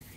My peace. My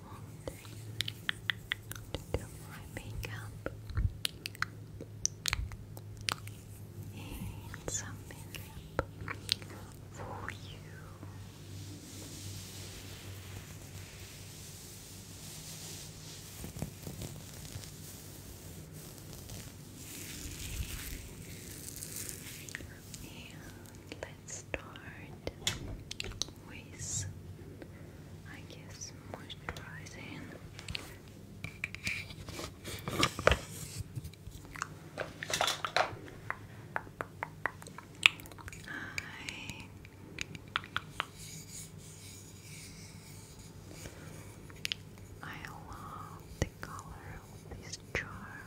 want to do my makeup and some makeup for you. And start with, I guess, moisturizing. I I love the color of this jar.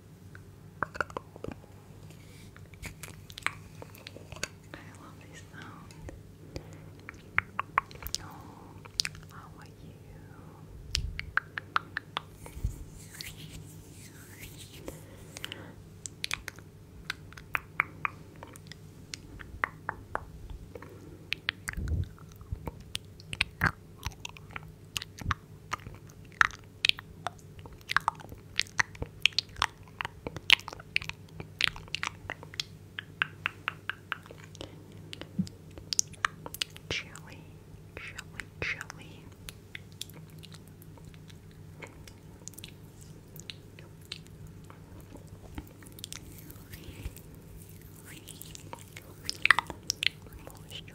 I love this sound. how are you? Chili, chili, chili. Moisturize.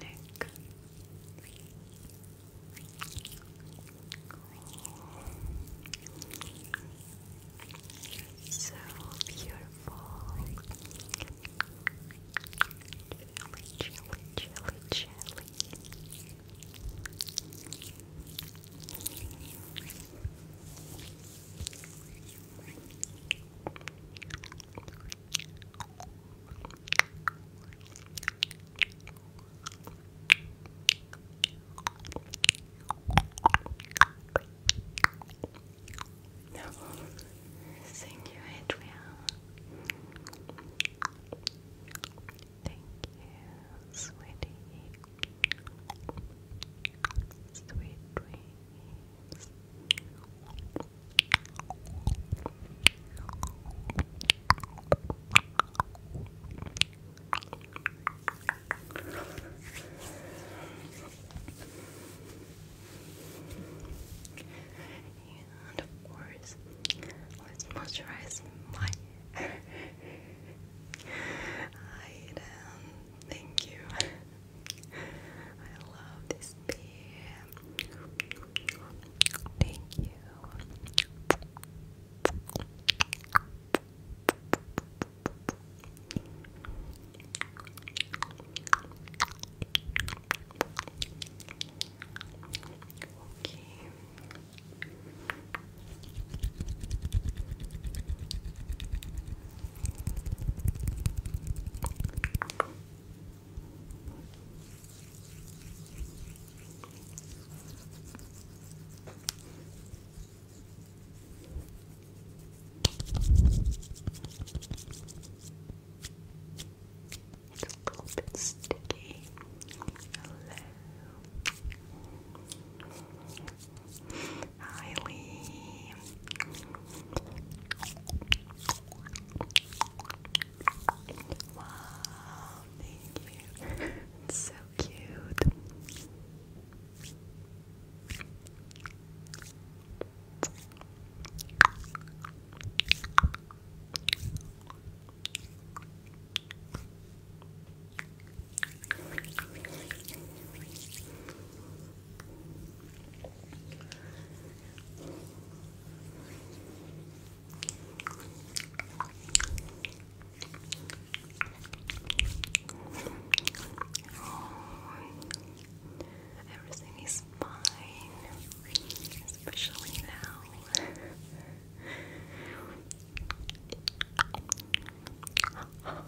neck. So beautiful. Chilly, chilly, chilly, chilly. Thank you, Adrian. Thank you, sweetie. Sweet and of course, let's moisturize my hair. Hi, Thank you. I love this beer. Thank you. Okay. It's a little bit sticky. Hello. Hi, Lee. Wow, thank you. so cute. Oh, everything is fine, especially now. now,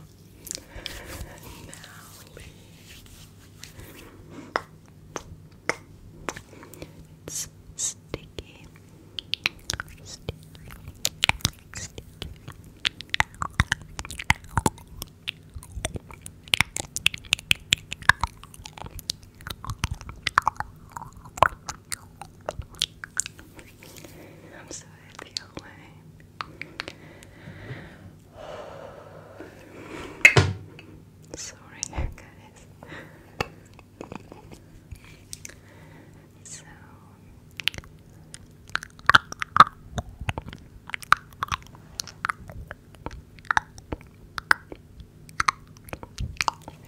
it's sticky. Sticky. Sticky. I'm so happy, Owen. Sorry, guys. So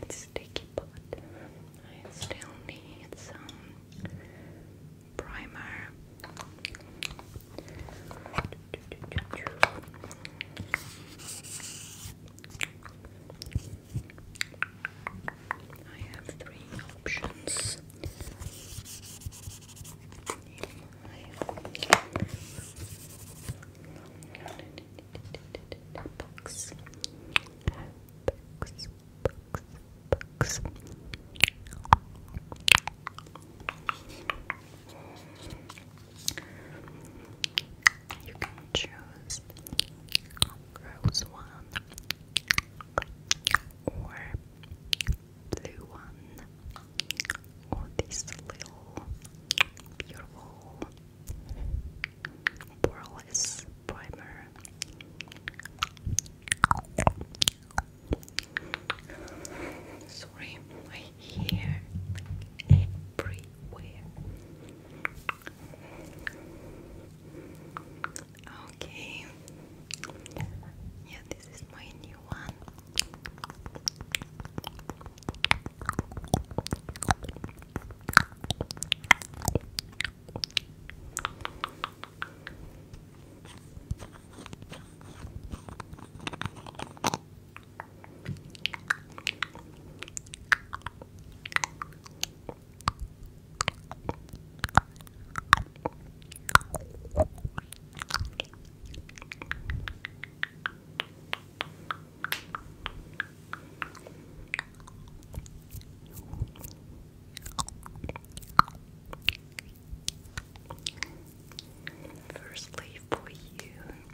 it's sticky, but I still need some primer. I have three options box. Box, box, box. You can choose rose one or blue one or this little beautiful poreless primer. Sorry, here, everywhere. Okay, yeah, this is my new one. Firstly, for you,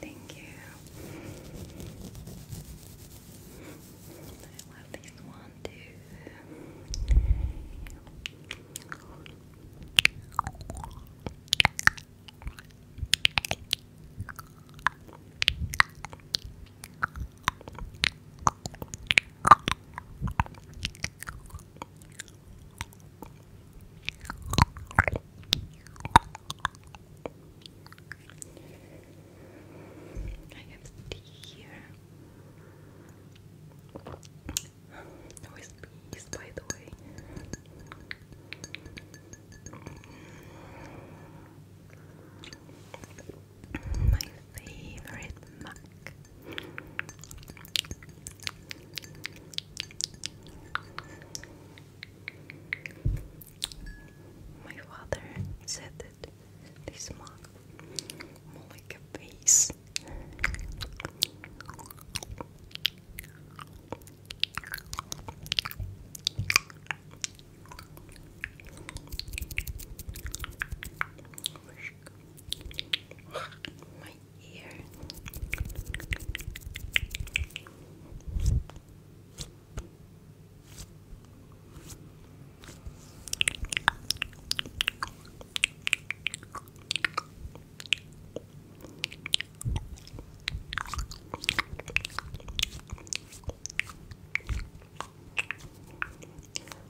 thank you. I love this one too. I have tea here. Always peace, by the way. My favorite mug. My father said that this mug more like a vase ear.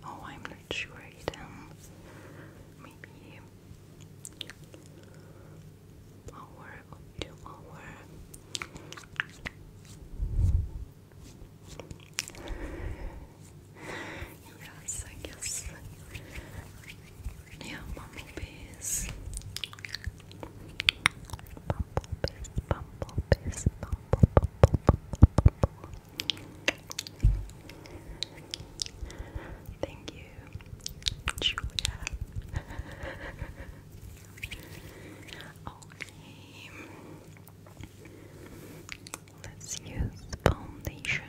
Oh, I'm not sure it um maybe Power up to our Yes, I guess. Yeah, bumblebees. Bumblebees, bumblebees, bumble, bumble, bumble, bumble. Thank you Julia. okay. Let's use foundation.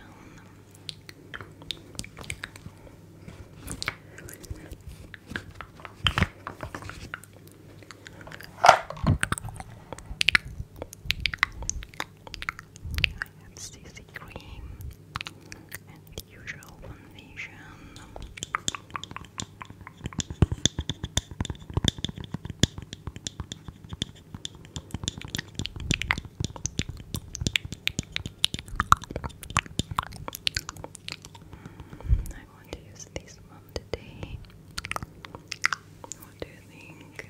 I have CC cream usual foundation. I want to use this one today. What do you think?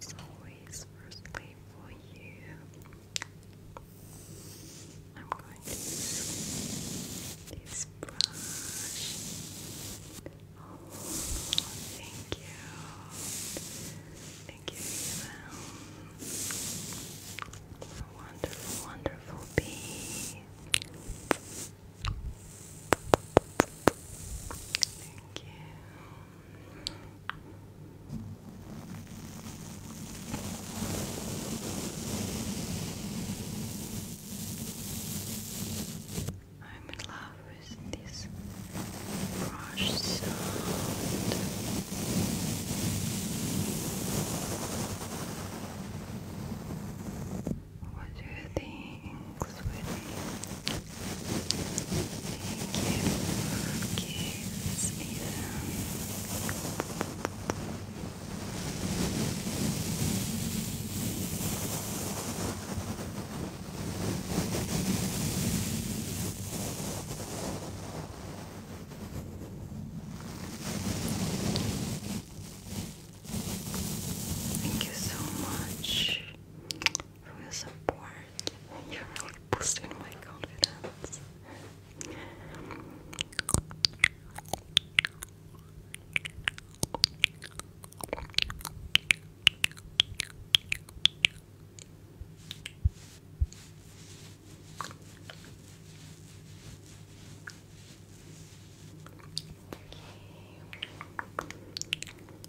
As always, firstly for you, I'm going to use this brush. Oh, thank you. Thank you, Evan. Wonderful, wonderful bee. Thank you. I'm in love with this brush sound. What do you think, sweetie? Thank you kiss, Thank you so much who is a support. You really boosted my confidence.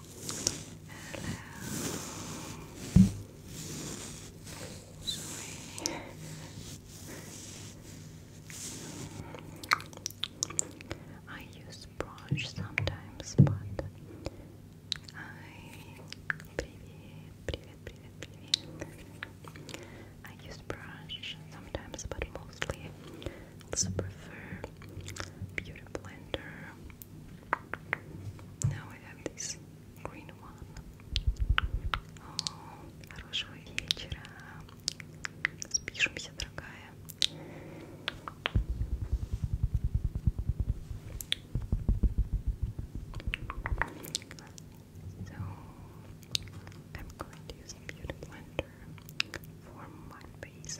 Hello. Sorry. I use brush sometimes, but I привет, привет, привет, привет. I use brush sometimes, but mostly also prefer Beauty Blender. Now I have this green one. О, oh, хорошего вечера. Спишемся, дорогая. So, I'm going to use Beauty Blender for my face.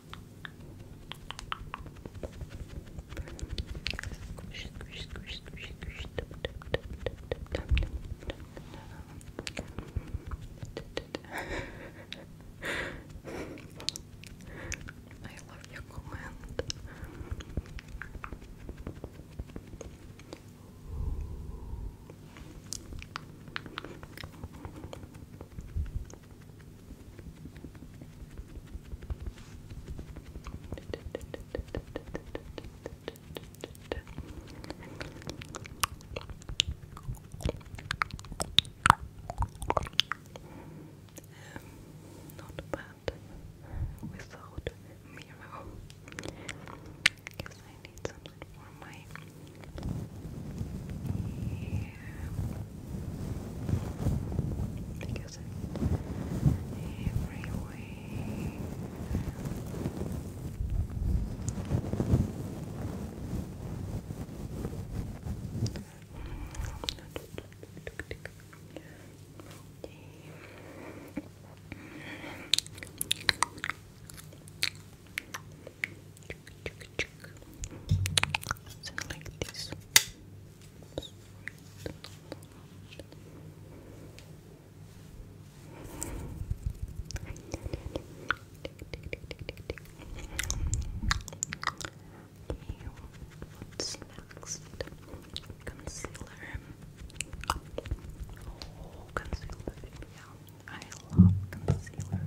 I love your comment. Um, not bad without mirror because I need something for my hair because every so like this. next? Concealer. Oh, concealer. I love concealer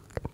Band.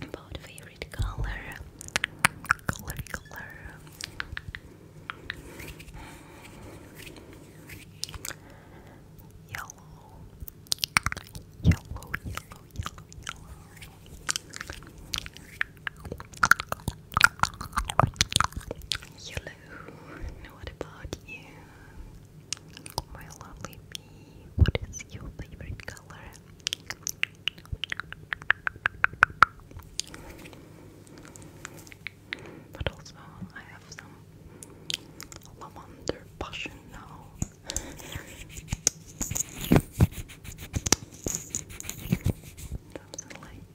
About favorite color, color, color. Yellow, yellow, yellow, yellow, yellow. Hello, what about you? My lovely bee, what is your favorite color? But also, I have some lavender passion now. Something like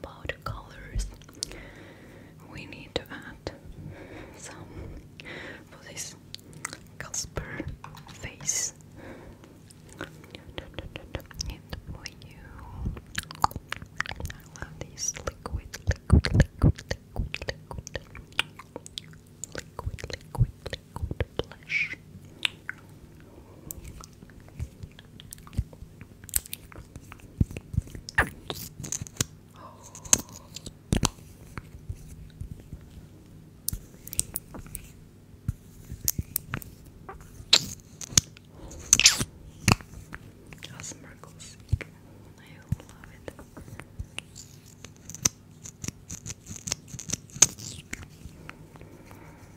about colors we need to add some for this Casper face I love this liquid liquid liquid liquid liquid liquid liquid liquid blush Awesome Merkle's. I love it.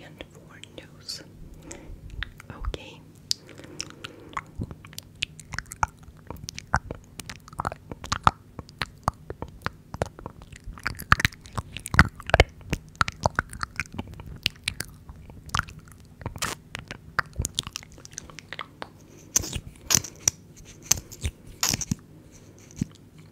and for nose. Okay.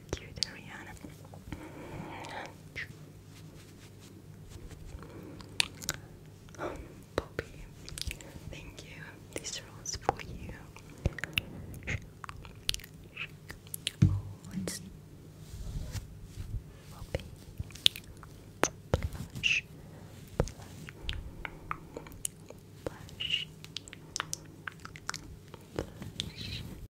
so cute, Ariana. Poppy, um, thank you. This rolls for you. Poppy. Oh, Blush. Blush. Blush.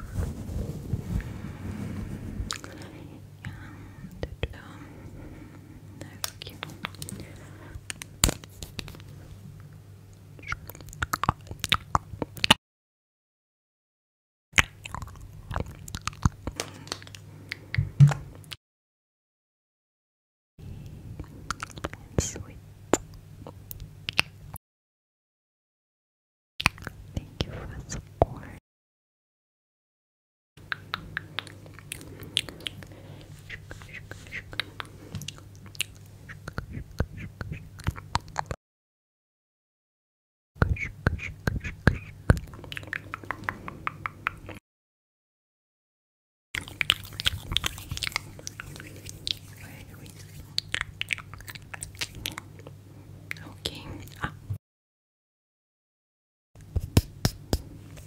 And um, that's sweet. Thank you for the support. Okay. Ah.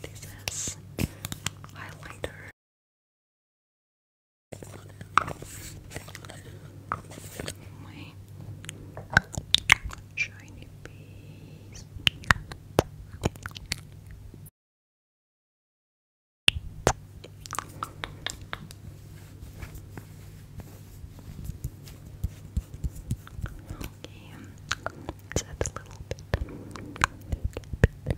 This is highlighter. My shiny piece. Okay, just a little bit. Okay.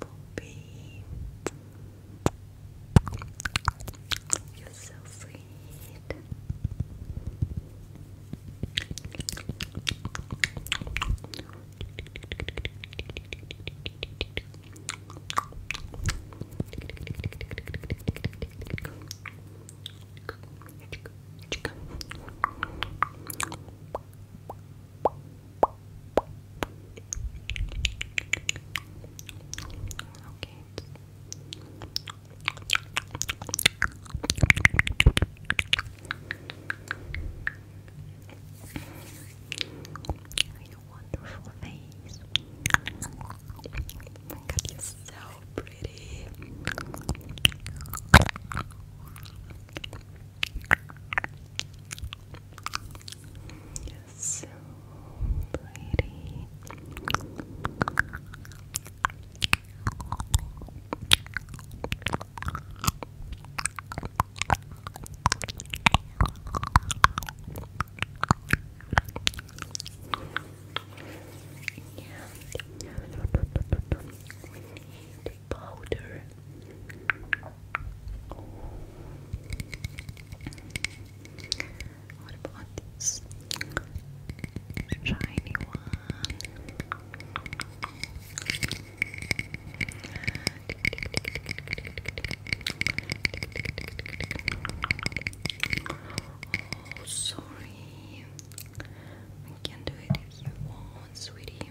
Bumblebee. You're so sweet. Okay. Your wonderful face. you're so pretty so pretty. Yeah. We need powder about this shiny one? Oh, sorry. We can do it if you want, sweetie.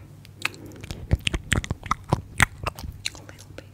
A little bit.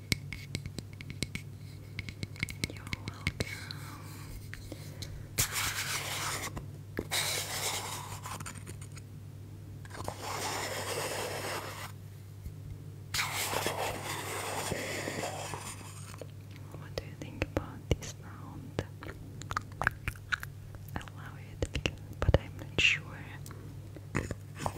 you What do you think about this sound? I love it, but I'm not sure Oh,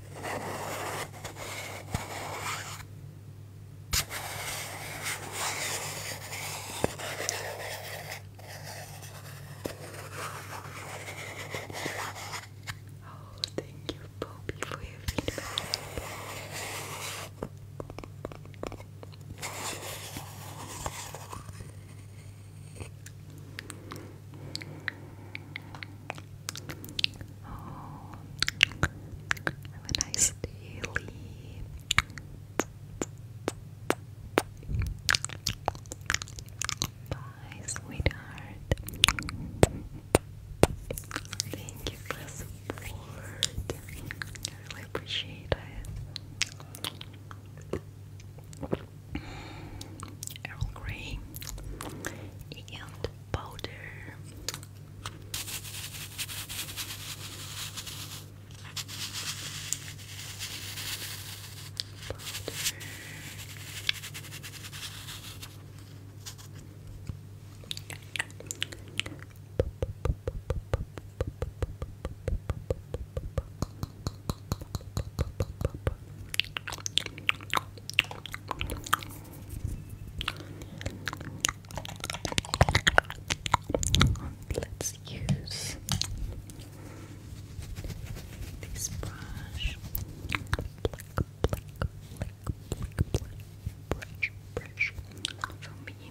thank you, Poppy, for your feedback have a nice day, sweetheart. Thank you for the support. I really appreciate it. Earl Grey and powder. Powder. Let's use this brush. brush, brush for me.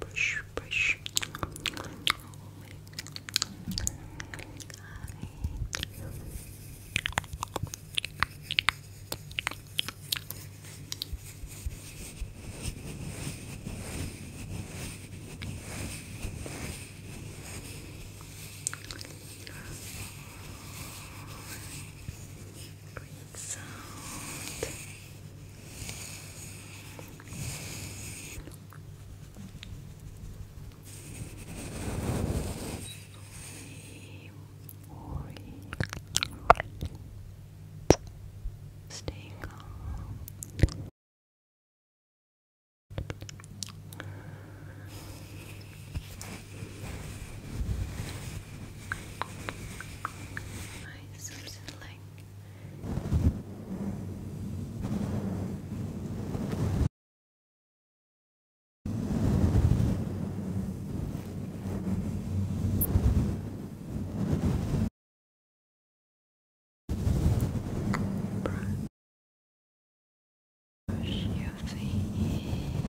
Brush, brush. Breathe sound. Stay Right, something like brush your face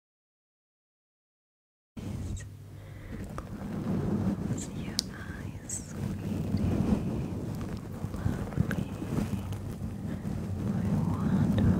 Please close your eyes, sweetie. Lovely. My wonderful.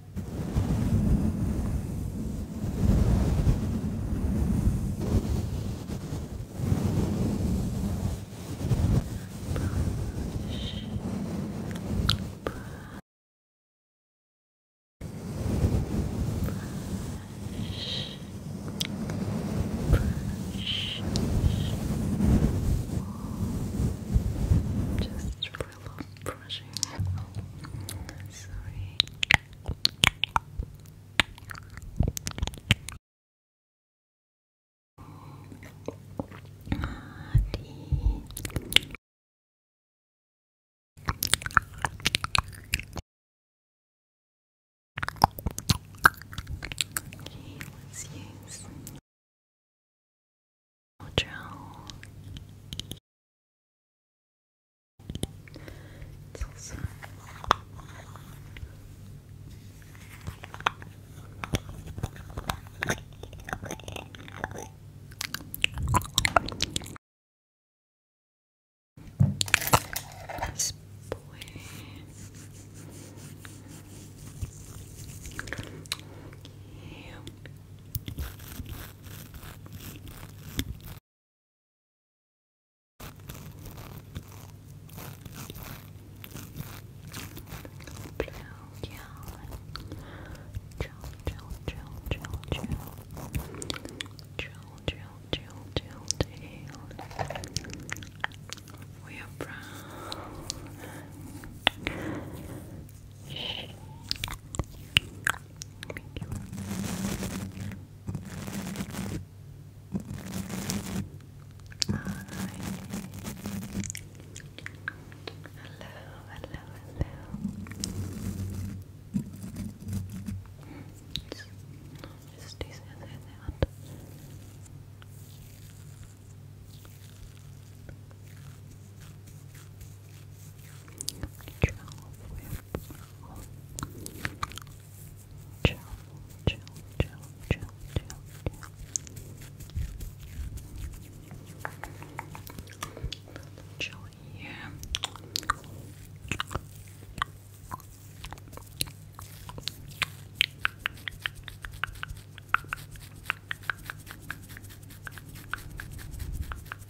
Just relax. Brush, brushing. Sorry. Adi. Okay, let's use. Mojo. It's also this boy. Okay. Blue, yeah. Chill, chill, chill, chill, chill. Chill, chill, chill, chill, chill. We are brown. Thank you. Hello, hello, hello. Just this other out. All Chill, chill, chill, chill, chill, chill. Chill here. Chill,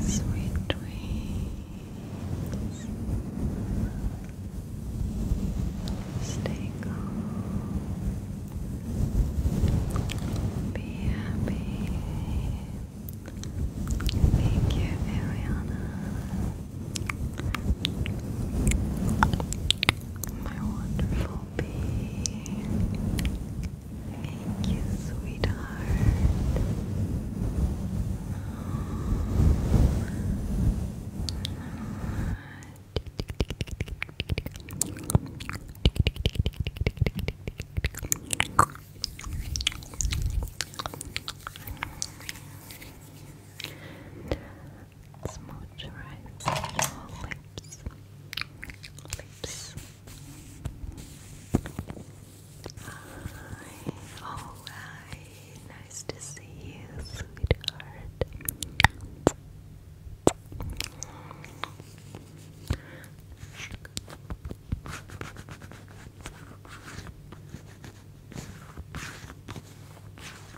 Sweet dreams. Stay calm. Be happy. Thank you, Ariana. My wonderful bee. Thank you, sweetheart. Let's lips. Lips. Hi. hi. Nice to see you, sweetheart.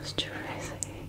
Moisturizing.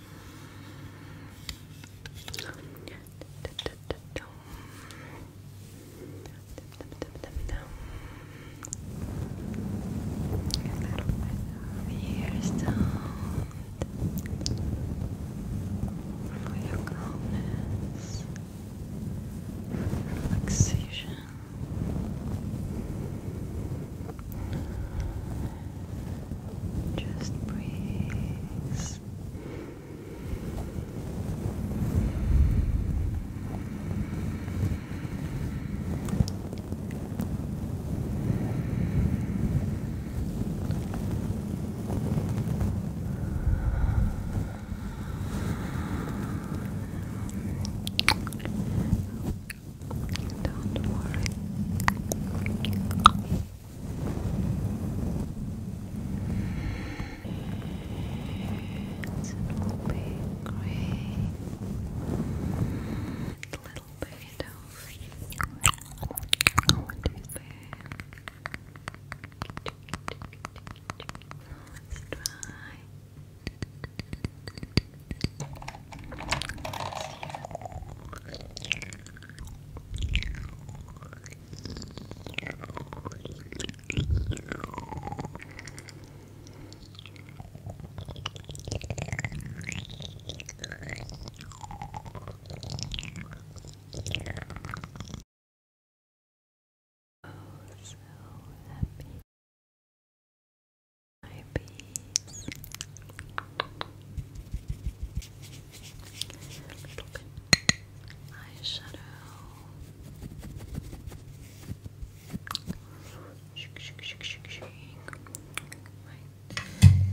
ear sound for your calmness, relaxation. Just breathe. Don't worry will be great. A little bit of what is Let's try. Let's Oh, so happy. My peace a little eyeshadow. Shake, shake, shake, shake, shake. Right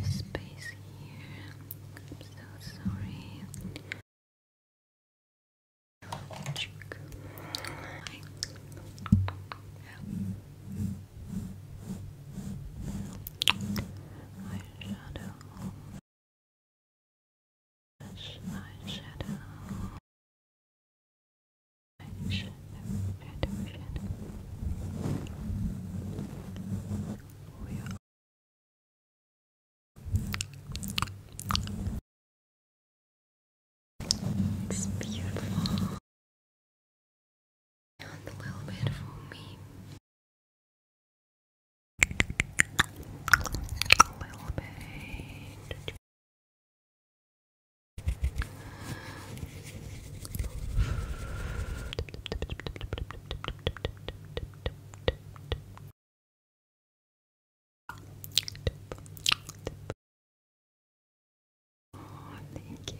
space here. I'm so sorry. Eyeshadow. This eyeshadow. shadow, shadow. We are it's beautiful and a little bit for me. A little bit. Oh, thank you.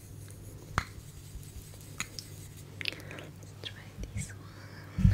Let's try this one.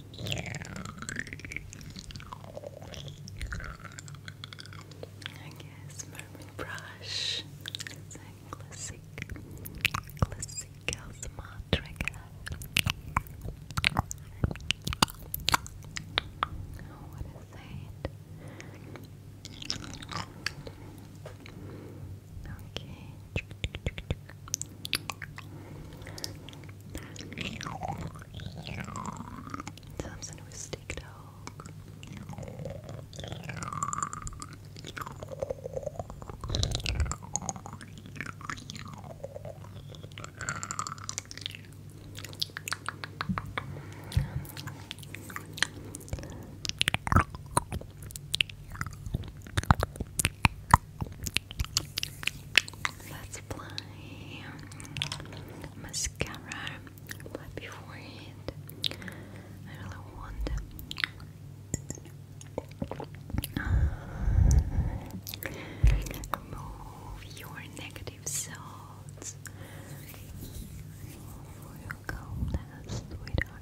guess Mermaid Brush. It's a classic, classic smart trigger. Oh, what is that? Okay. So I'm sending with steak dog. Let's apply mascara right before it. I really want remove your negative thoughts. Where you go, sweetheart?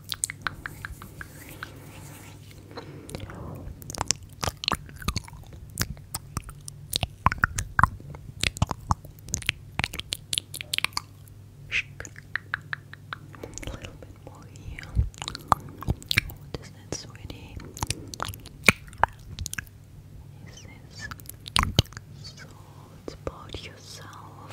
A little bit more here. What is that, sweetie? Is this so? about yourself.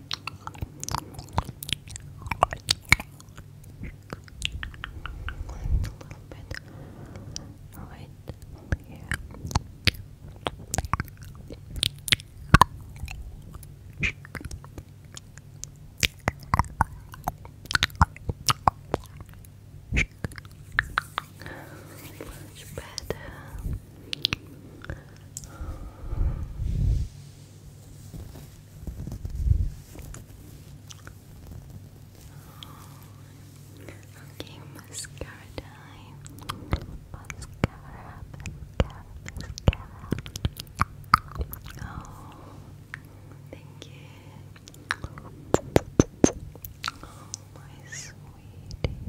And a little bit right here. Much better. Okay, mascara Mascara, mascara, Oh, thank you. Oh, my sweetie.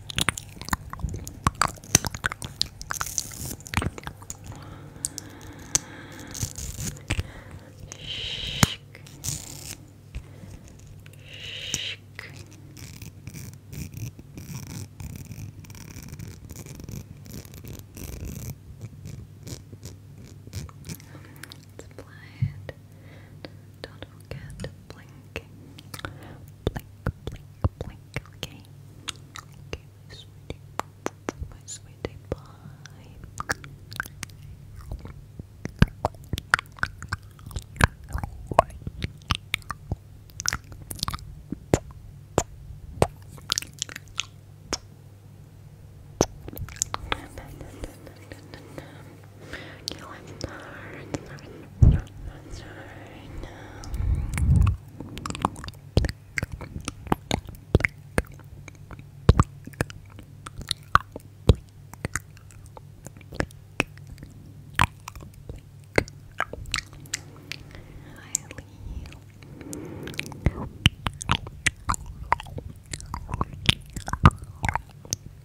Let's apply it. Don't forget to blink blink, blink, blink, okay? Okay, sweetie, my sweetie pie. That's Highly.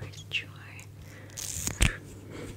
Where's drawer? Mascara, mascara.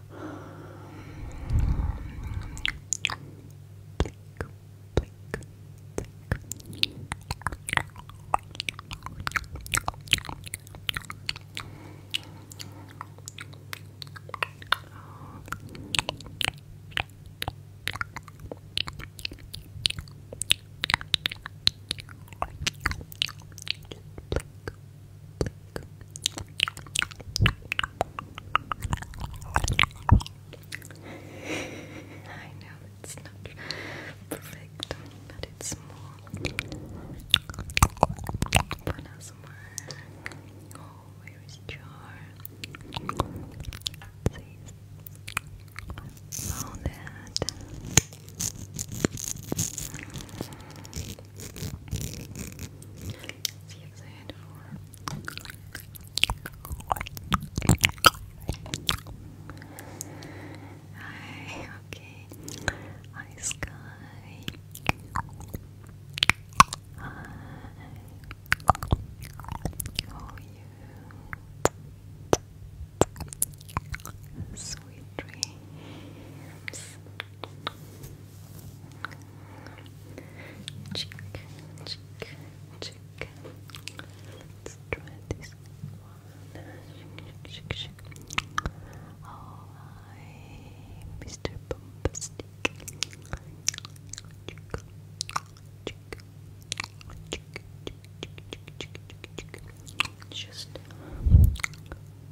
Blink, blink, blink. Just blink, I know it's not perfect, but it's more fun as Oh, where is Jar? Please. Oh, See Hi, okay. Hi, Sky. Hi. How you? Sweet dreams. Cheek, cheek, cheek. Let's try this one. Shake, shake, shake. Oh, hi, Mr. Bombastic. Cheek, cheek, cheek, cheek, cheek, cheek, cheek. Just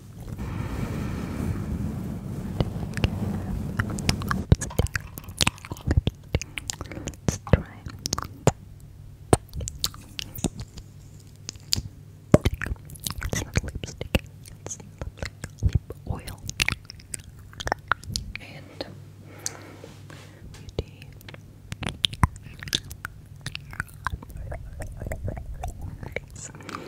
Let's try. It's not lipstick. It's lip oil. And beauty.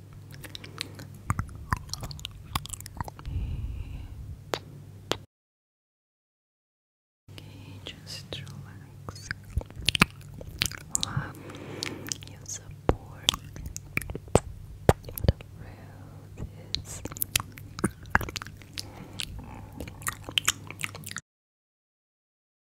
Okay, just relax. Love support. The road is.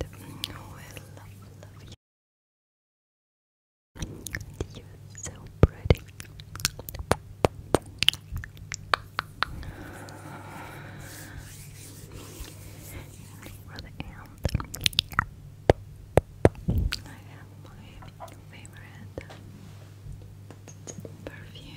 will love, love you. You're so pretty. I have my favorite perfume.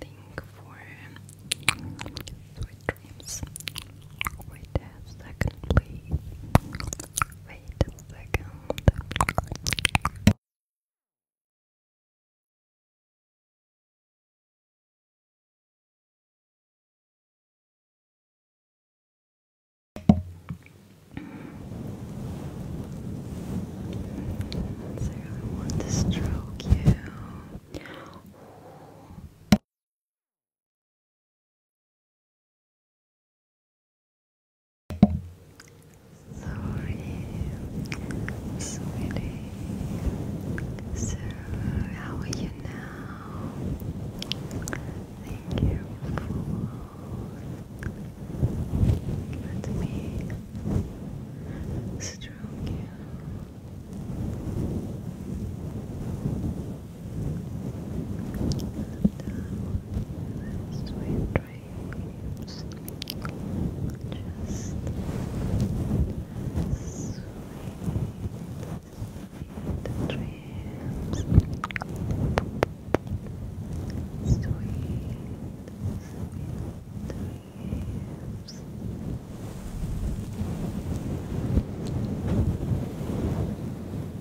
thing for sweet dreams. Wait a second, please. Wait a second really want to stroke you. Sorry, sweetie. So, how are you now? Thank you for. Let me stroke you. dreams, sweet, dreams. sweet dreams leaves.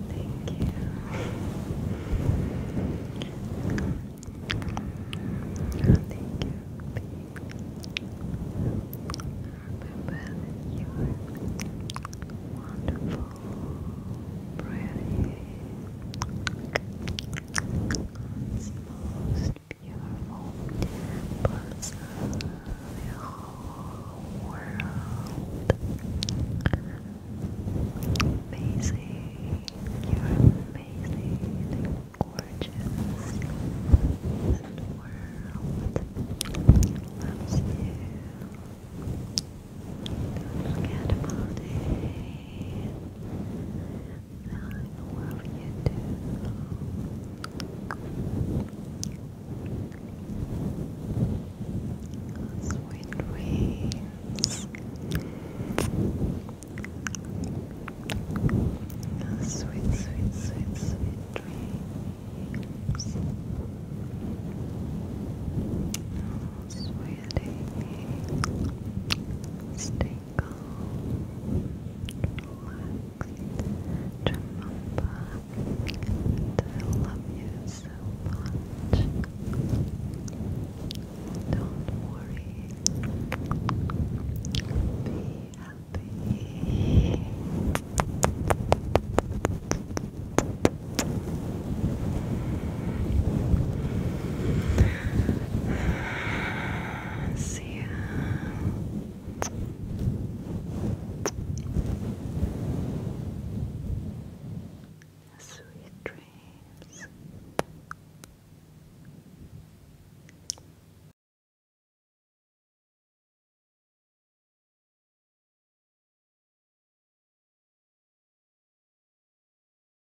Thank you. Thank you. Remember that you are wonderful, pretty, most beautiful parts of amazing, you're amazing gorgeous the world loves you don't forget about it I love you too. Sweet dreams. Sweet, sweet, sweet, sweet dreams. Oh, sweetie, stay calm, relaxed. Remember that I you so much. Don't worry. Be happy see Sweet dreams.